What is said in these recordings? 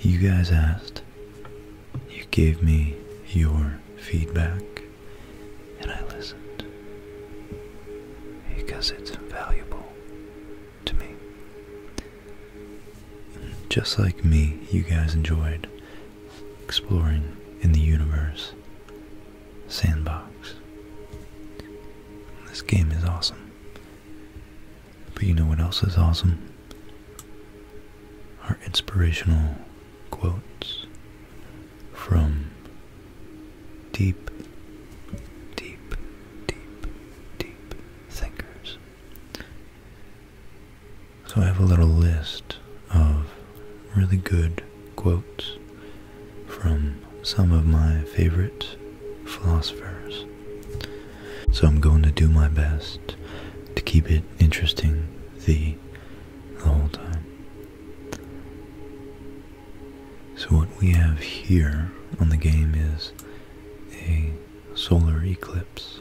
You guys asked, you gave me your feedback, and I listened because it's valuable to me. Just like me, you guys enjoyed exploring in the universe sandbox. This game is awesome. But you know what else is awesome? Our inspirational quotes from deep, deep, deep, deep thinkers. So I have a little list of really good quotes from some of my favorite philosophers. So I'm going to do my best to keep it interesting the, whole time. So what we have here on the game is a solar eclipse.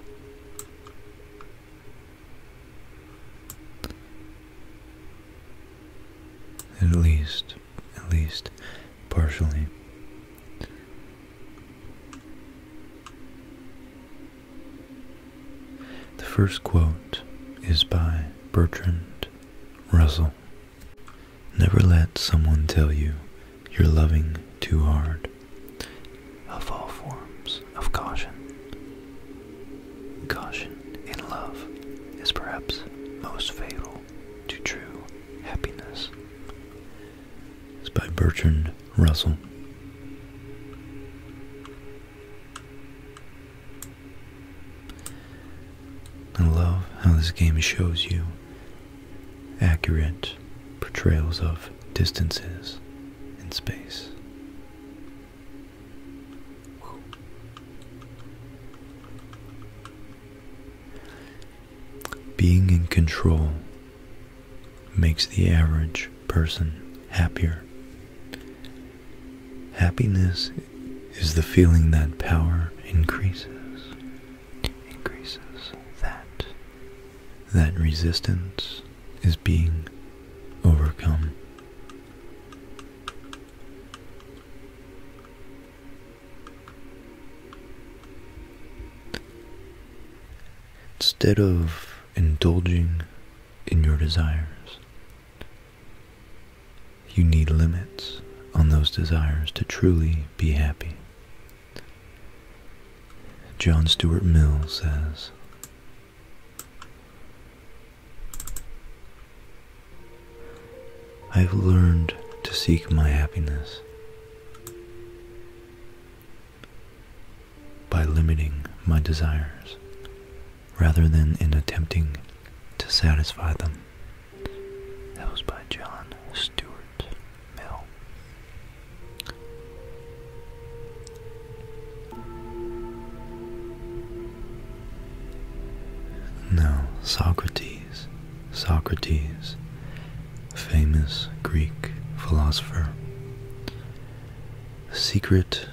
At least, at least partially. The first quote is by Bertrand Russell. Never let someone tell you you're loving too hard. Of all forms of caution, caution in love is perhaps most fatal to true happiness. It's by Bertrand Russell. I love how this game shows you accurate portrayals of distances in space. Being in control makes the average person happier. Happiness is the feeling that power increases, increases that, that resistance is being overcome. Instead of indulging in your desires, you need limits on those desires to truly be happy. John Stuart Mill says, I've learned to seek my happiness by limiting my desires rather than in attempting to satisfy them. That was by John Stuart Mill. Now, Socrates, Socrates, famous Greek philosopher. secret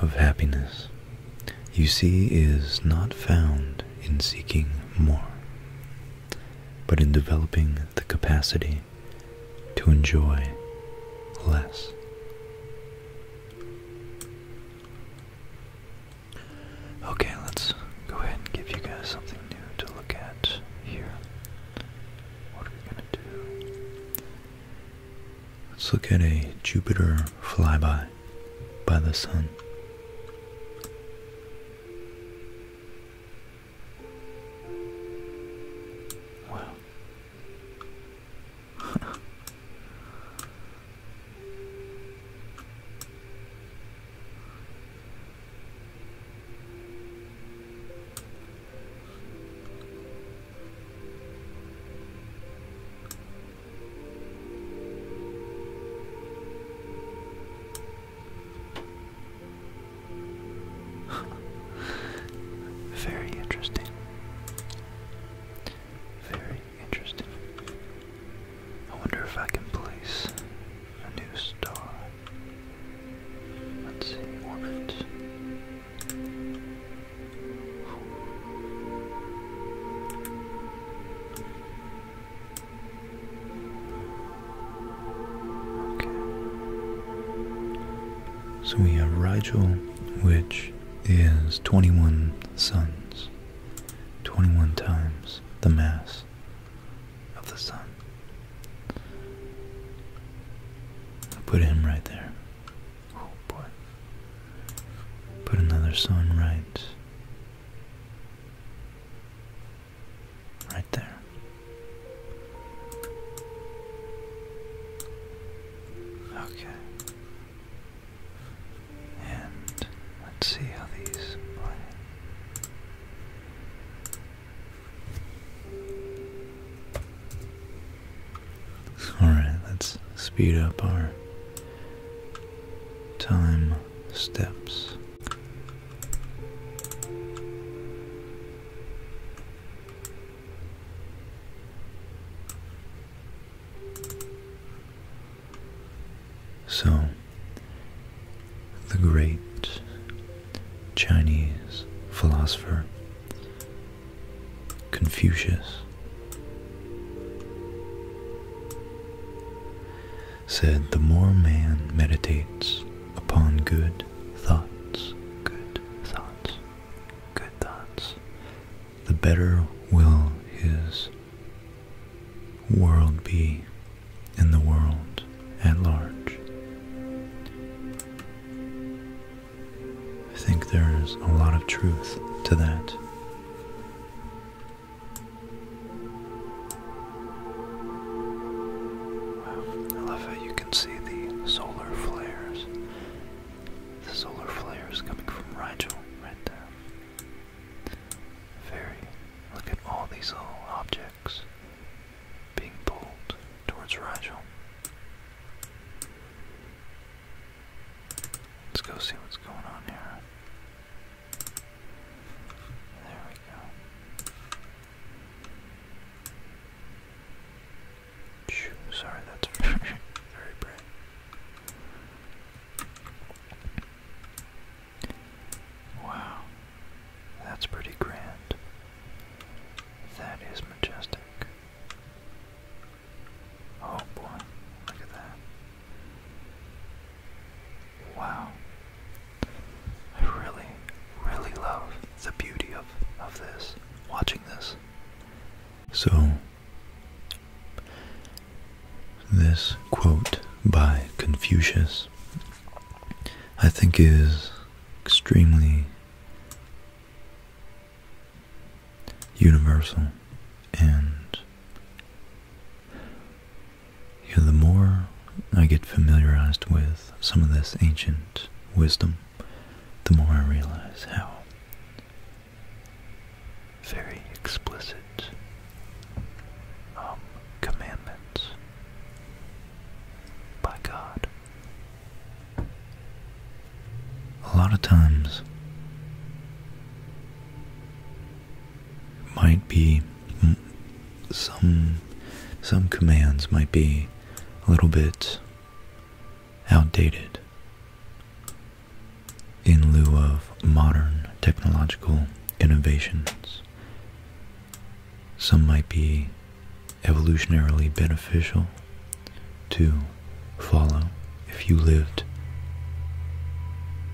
of happiness, you see, is not found in seeking more, but in developing the capacity to enjoy less. Okay, let's go ahead and give you guys something to look at here. What are we going to do? Let's look at a Jupiter flyby by the Sun. Wow. Very interesting. Very interesting. I wonder if I can place a new star. Let's see, orbit. Okay. So we have Rigel, which is 21 suns, 21 times the mass of the sun. Put him right there. Oh boy. Put another sun right. Right there. Okay. And let's see how these Alright, let's speed up our time steps. So, the great Chinese philosopher Confucius said, The more man meditates upon good thoughts, good thoughts, good thoughts, the better will his world be in the world at large. I think there's a lot of truth to that. Wow, I love how you can see the solar flares. The solar flares coming from Rigel right there. Very. Look at all these little objects being pulled towards Rigel. Let's go see what's going on here. There we go. sorry, that's very, very bright. Wow, that's pretty grand. That is majestic. Oh boy, look at that. Wow. I really, really love the beauty of, of this, watching this. So, this quote by Confucius I think, is extremely universal. And the more I get familiarized with some of this ancient wisdom, the more I realize how very explicit um, commandments by God. A lot of times might be mm, some some commands might be a little bit outdated in lieu of modern technological innovations some might be evolutionarily beneficial to follow if you lived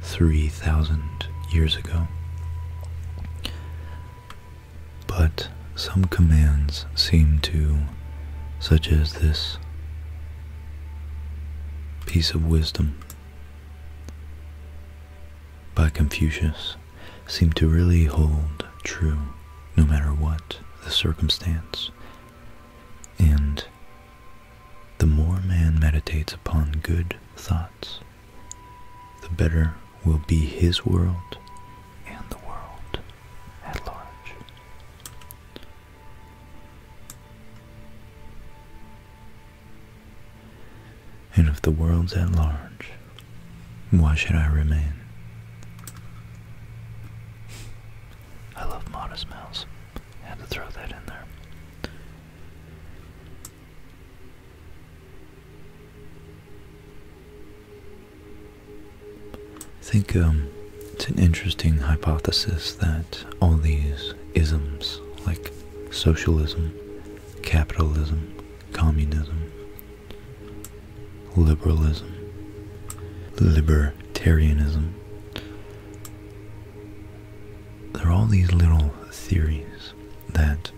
3,000 years ago. But some commands seem to, such as this piece of wisdom, by Confucius seem to really hold true no matter what the circumstance. And the more man meditates upon good thoughts, the better will be his world and the world at large and if the world's at large, why should I remain? I love Modest Mouse. had to throw that in there. think um, it's an interesting hypothesis that all these isms, like socialism, capitalism, communism, liberalism, libertarianism. There are all these little theories that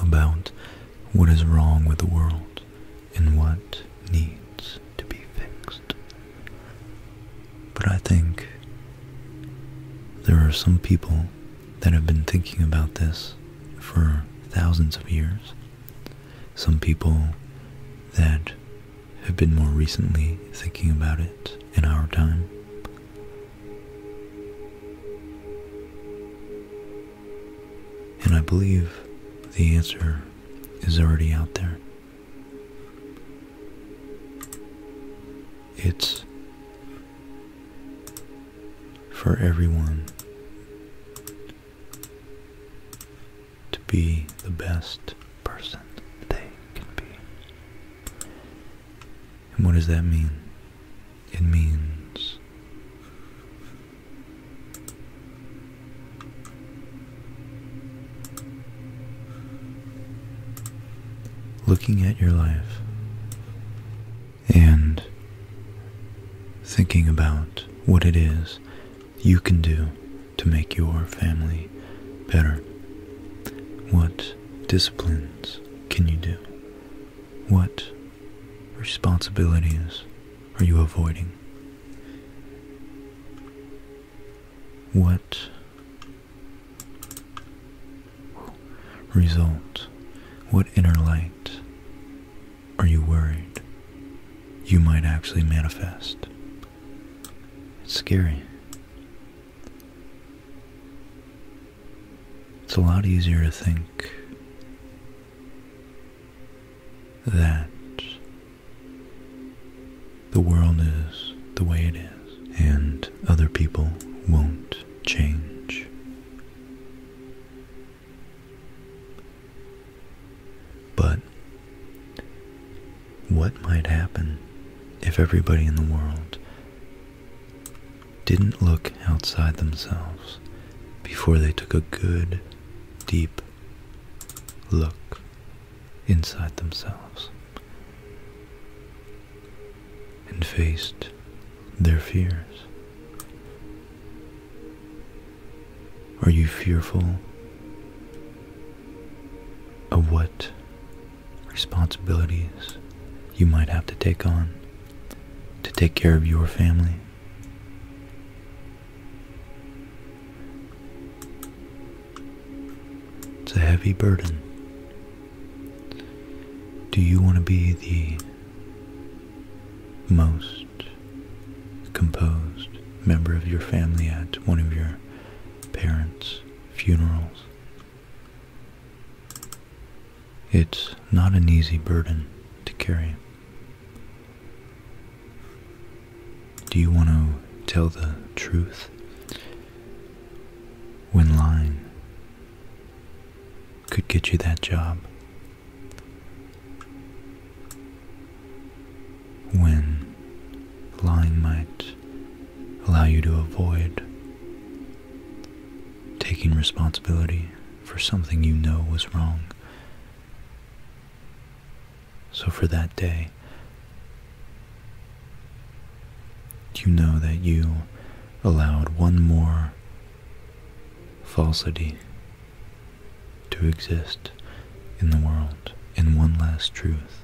about what is wrong with the world and what needs to be fixed. But I think there are some people that have been thinking about this for thousands of years. Some people that have been more recently thinking about it in our time. And I believe the answer is already out there it's for everyone to be the best person they can be. And what does that mean? It means looking at your life and thinking about what it is you can do to make your family better. What disciplines can you do? What responsibilities are you avoiding? What Result, what inner light are you worried you might actually manifest? It's scary. It's a lot easier to think that the world is the way it is and other people won't change. But what might happen if everybody in the world didn't look outside themselves before they took a good, deep look inside themselves? and faced their fears. Are you fearful of what responsibilities you might have to take on to take care of your family? It's a heavy burden do you want to be the most composed member of your family at one of your parents' funerals? It's not an easy burden to carry. Do you want to tell the truth when lying? could get you that job. When lying might allow you to avoid taking responsibility for something you know was wrong. So for that day, do you know that you allowed one more falsity to exist in the world, in one last truth.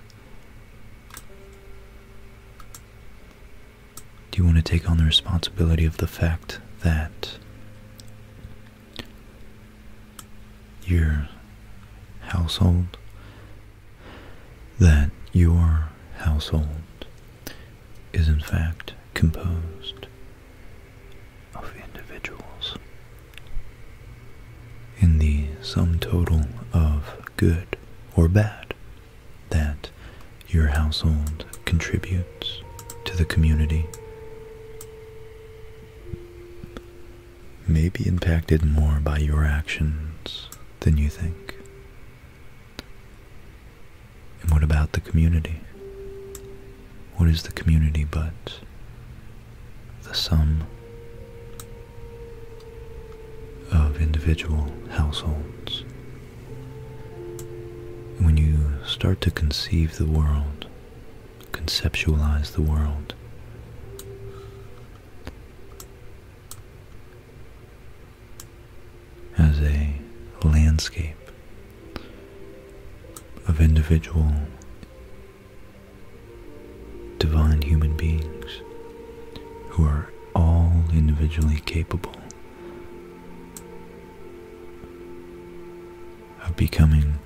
Do you want to take on the responsibility of the fact that your household that your household is in fact composed of individuals in the sum total of good or bad that your household contributes to the community may be impacted more by your actions than you think. And what about the community? What is the community but the sum of individual households? When you start to conceive the world, conceptualize the world, as a landscape of individual divine human beings who are all individually capable of becoming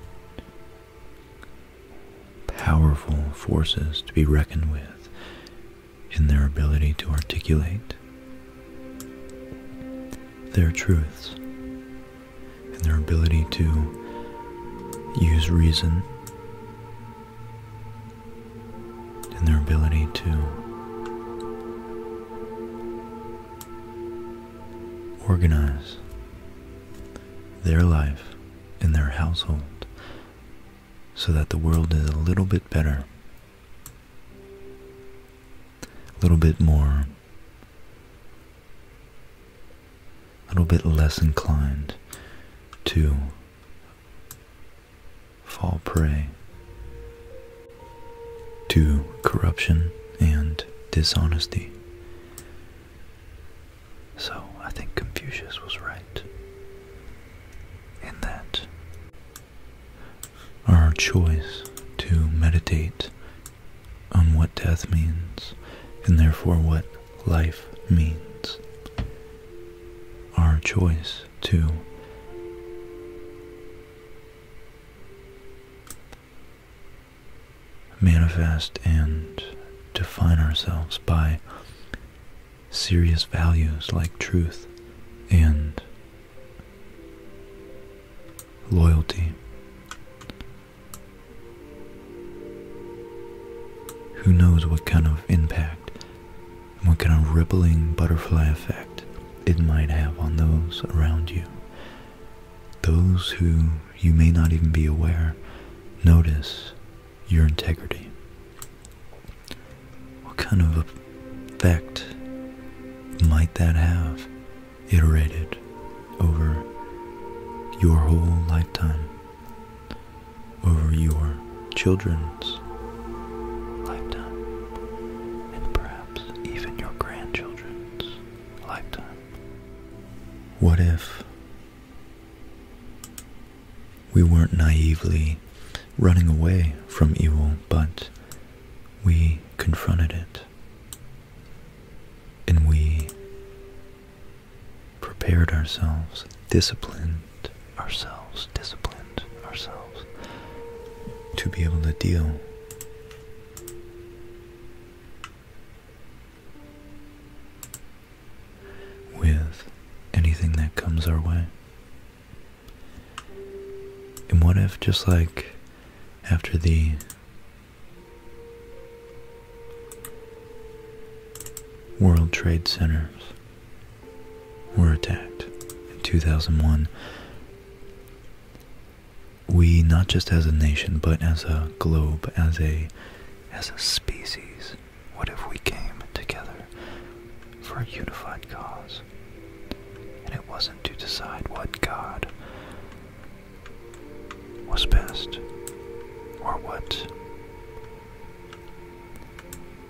powerful forces to be reckoned with in their ability to articulate their truths and their ability to use reason and their ability to organize their life in their household so that the world is a little bit better a little bit more, a little bit less inclined to fall prey to corruption and dishonesty. So I think Confucius was right in that our choice to meditate on what death means and therefore what life means. Our choice to manifest and define ourselves by serious values like truth and loyalty. Who knows what kind of impact what kind of rippling butterfly effect it might have on those around you? Those who you may not even be aware notice your integrity. What kind of effect might that have iterated over your whole lifetime, over your children's lifetime, and perhaps even your grandchildren's lifetime? What if we weren't naively running away from evil, but we confronted it. And we prepared ourselves, disciplined ourselves, disciplined ourselves to be able to deal with anything that comes our way. And what if, just like after the World Trade Centers were attacked in 2001, we, not just as a nation, but as a globe, as a as a species, what if we came together for a unified cause? And it wasn't to decide what God was best or what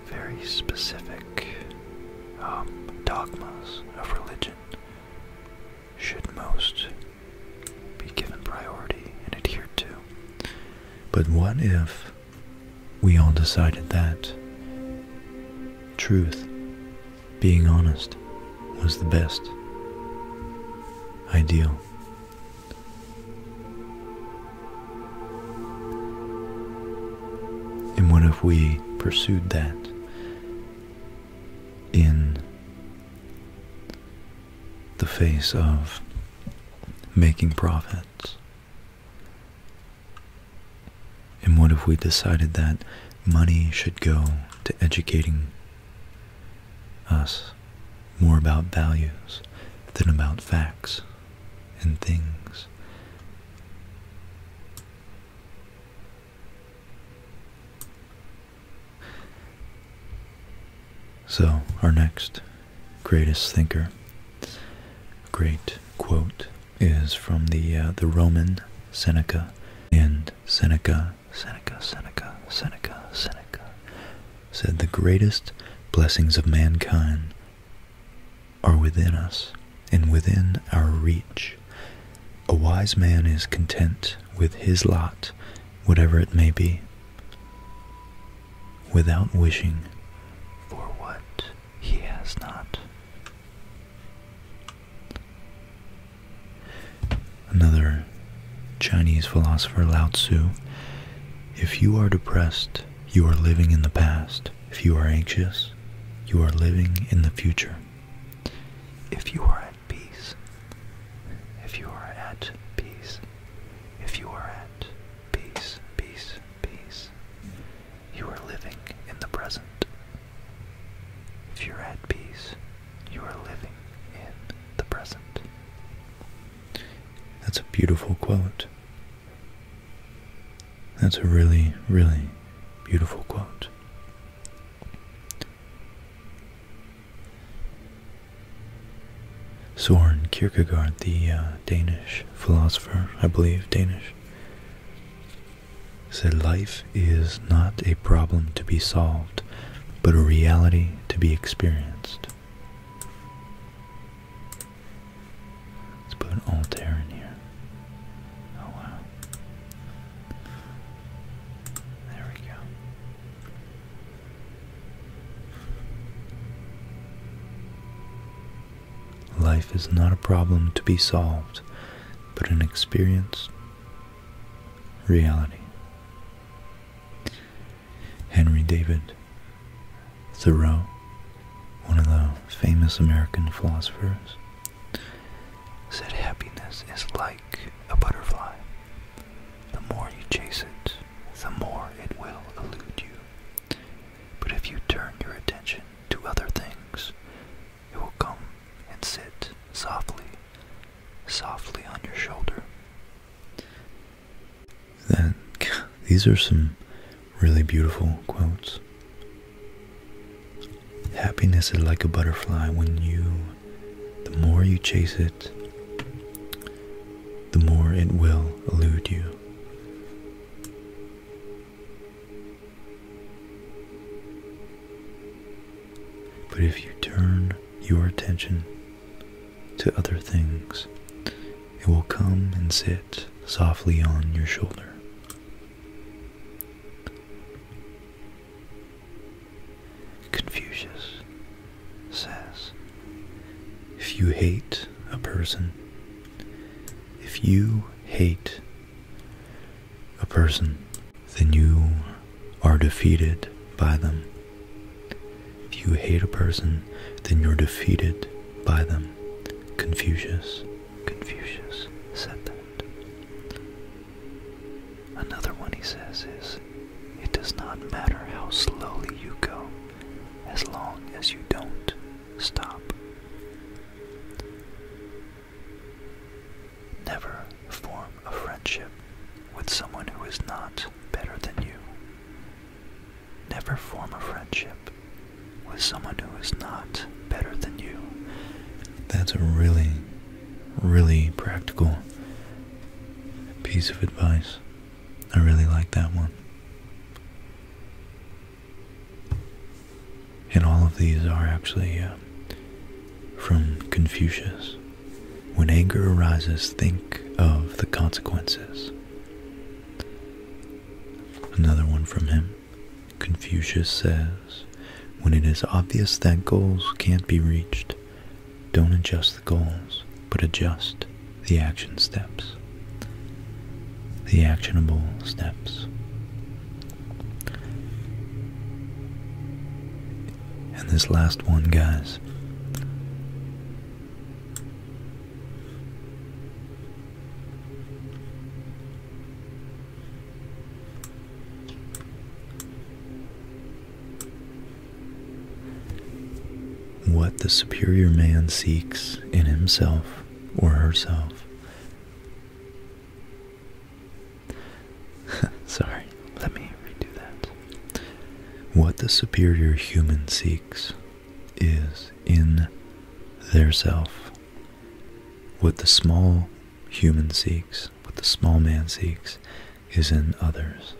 very specific um, dogmas of religion should most be given priority and adhered to. But what if we all decided that truth, being honest, was the best ideal. And what if we pursued that in the face of making profits and what if we decided that money should go to educating us more about values than about facts and things? So, our next greatest thinker. A great quote is from the uh, the Roman Seneca, and Seneca, Seneca, Seneca, Seneca, Seneca said the greatest blessings of mankind are within us and within our reach. A wise man is content with his lot, whatever it may be, without wishing for what he has not. Another Chinese philosopher, Lao Tzu If you are depressed, you are living in the past. If you are anxious, you are living in the future. If you are at peace, if you are at peace, if you are at peace, peace, peace, you are living in the present. If you're at peace, you are living in the present. That's a beautiful quote. That's a really, really beautiful quote. Soren Kierkegaard, the uh, Danish philosopher, I believe, Danish, said life is not a problem to be solved, but a reality to be experienced. Let's put an altair in here. Oh wow. There we go. Life is not a problem to be solved, but an experience, reality. Henry David Thoreau, one of the famous American philosophers, said happiness is like a butterfly. The more you chase it, the more it will elude you. But if you turn your attention to other things, it will come and sit softly, softly on your shoulder. That, these are some really beautiful quotes. Happiness is like a butterfly when you, the more you chase it, the more it will elude you. But if you turn your attention to other things, it will come and sit softly on your shoulder. Confucius says, If you hate a person, if you hate a person, then you are defeated by them. If you hate a person, then you're defeated by them. Confucius, Confucius said that. Another one he says is, It does not matter how slowly you go, as long as you don't stop. Never form a friendship with someone who is not better than you. Never form a friendship with someone who is not better than you. That's a really, really practical piece of advice. I really like that one. And all of these are actually uh, from Confucius. When anger arises, think of the consequences. Another one from him. Confucius says, When it is obvious that goals can't be reached, don't adjust the goals, but adjust the action steps, the actionable steps. And this last one, guys, what the superior man seeks in himself or herself. Sorry, let me redo that. What the superior human seeks is in theirself. What the small human seeks, what the small man seeks, is in others.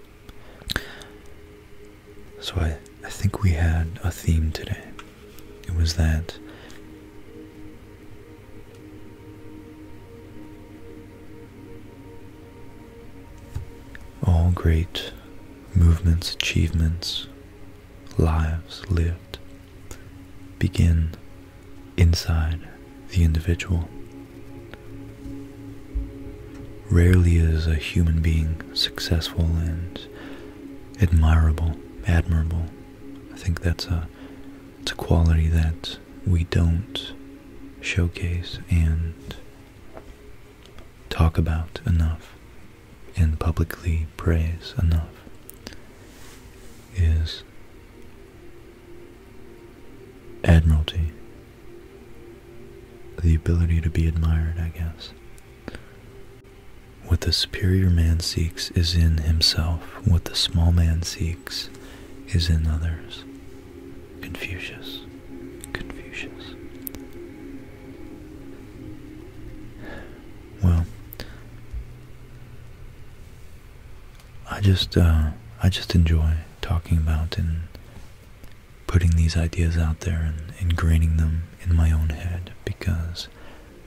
So I, I think we had a theme today. It was that all great movements, achievements, lives lived begin inside the individual. Rarely is a human being successful and admirable, admirable. I think that's a, it's a quality that we don't showcase and talk about enough and publicly praise enough is admiralty. The ability to be admired, I guess. What the superior man seeks is in himself, what the small man seeks is in others. Confucius. Confucius. Well, I just uh, I just enjoy talking about it putting these ideas out there and ingraining them in my own head because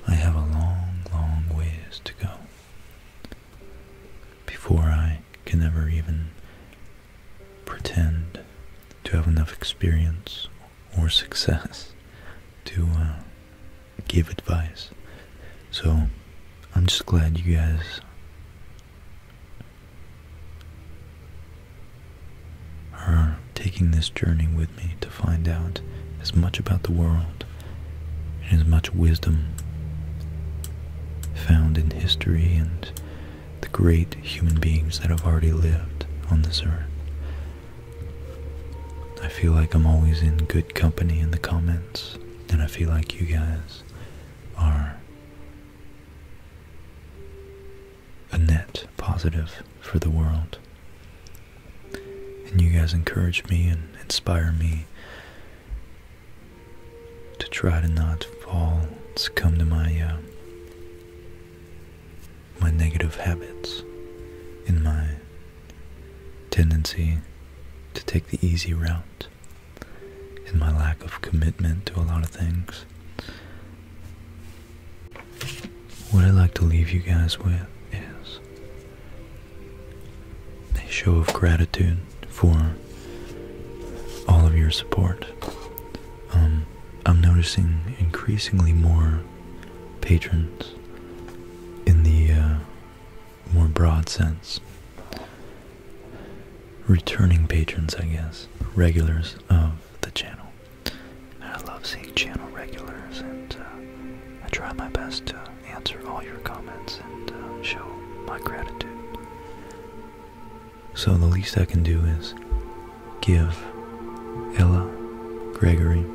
I have a long, long ways to go before I can ever even pretend to have enough experience or success to uh, give advice. So I'm just glad you guys are taking this journey with me to find out as much about the world and as much wisdom found in history and the great human beings that have already lived on this earth. I feel like I'm always in good company in the comments, and I feel like you guys are a net positive for the world. And you guys encourage me and inspire me to try to not fall, succumb to my uh, my negative habits, in my tendency to take the easy route, in my lack of commitment to a lot of things. What I'd like to leave you guys with is a show of gratitude for all of your support. Um, I'm noticing increasingly more patrons in the uh, more broad sense. Returning patrons, I guess, regulars of the channel. I love seeing channel regulars, and uh, I try my best to answer all your comments and uh, show my gratitude. So the least I can do is give Ella, Gregory,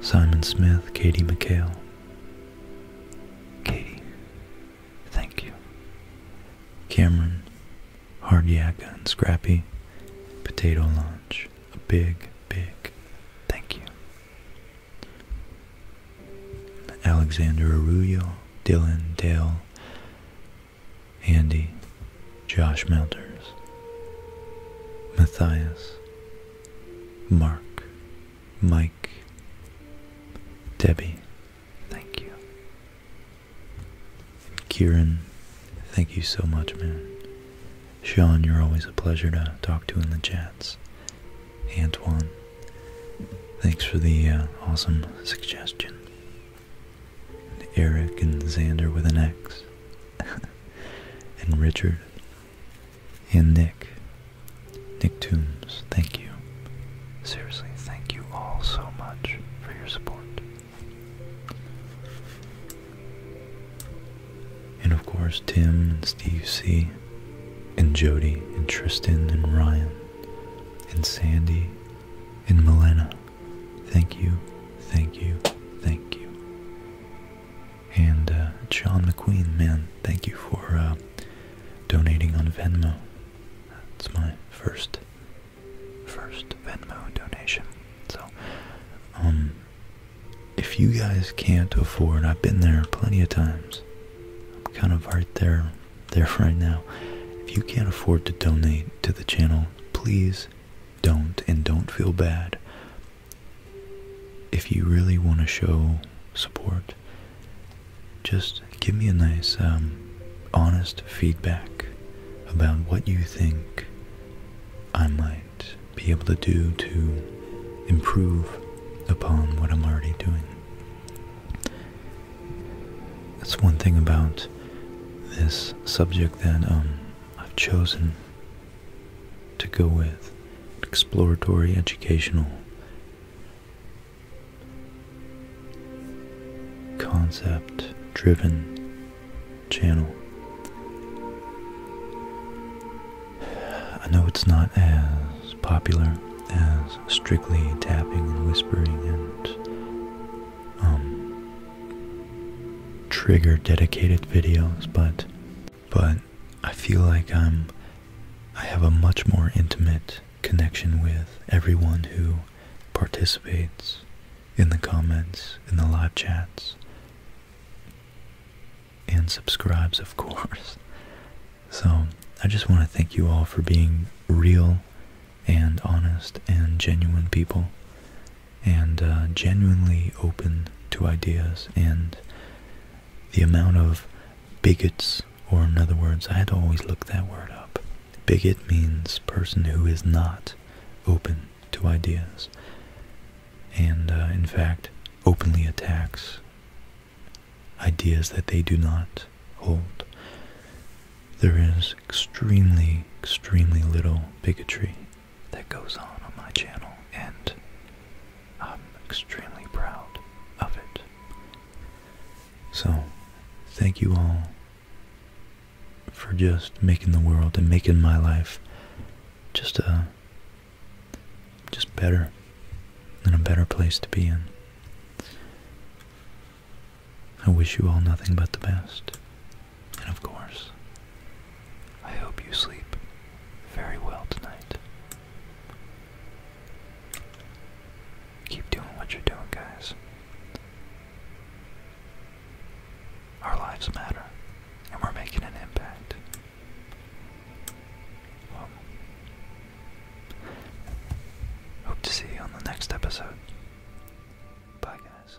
Simon Smith, Katie McHale. Katie, thank you. Cameron, hard yakka and scrappy, potato lunch. A big, big thank you. Alexander Arujo, Dylan, Dale, Andy, Josh Melters, Matthias, Mark, Mike, Debbie, thank you. Kieran, thank you so much, man. Sean, you're always a pleasure to talk to in the chats. Antoine, thanks for the uh, awesome suggestion. Eric and Xander with an X. and Richard. And Nick. Nick Toombs, thank you. Seriously, thank you all so much for your support. And of course, Tim and Steve C. And Jody and Tristan and Ryan and Sandy and Melena. Thank you, thank you, thank you. And John uh, McQueen, man, thank you for uh, donating on Venmo. That's my first first Venmo donation. So, um, if you guys can't afford, I've been there plenty of times. I'm kind of right there, there for right now. If you can't afford to donate to the channel, please don't and don't feel bad. If you really want to show support, just give me a nice um, honest feedback about what you think I might be able to do to improve upon what I'm already doing. That's one thing about this subject that um, I've chosen to go with exploratory educational concept driven channel. I know it's not as popular as strictly tapping and whispering and um, trigger dedicated videos, but but I feel like I'm I have a much more intimate connection with everyone who participates in the comments, in the live chats, and subscribes, of course. So I just want to thank you all for being real and honest and genuine people and uh, genuinely open to ideas and the amount of bigots, or in other words, I had to always look that word up. Bigot means person who is not open to ideas and, uh, in fact, openly attacks ideas that they do not hold. There is extremely, extremely little bigotry that goes on on my channel, and I'm extremely proud of it. So, thank you all for just making the world and making my life just a uh, just better and a better place to be in. I wish you all nothing but the best. And of course, I hope you sleep very well tonight. Keep doing what you're doing, guys. Our lives matter, and we're making an impact. hope to see you on the next episode. Bye, guys.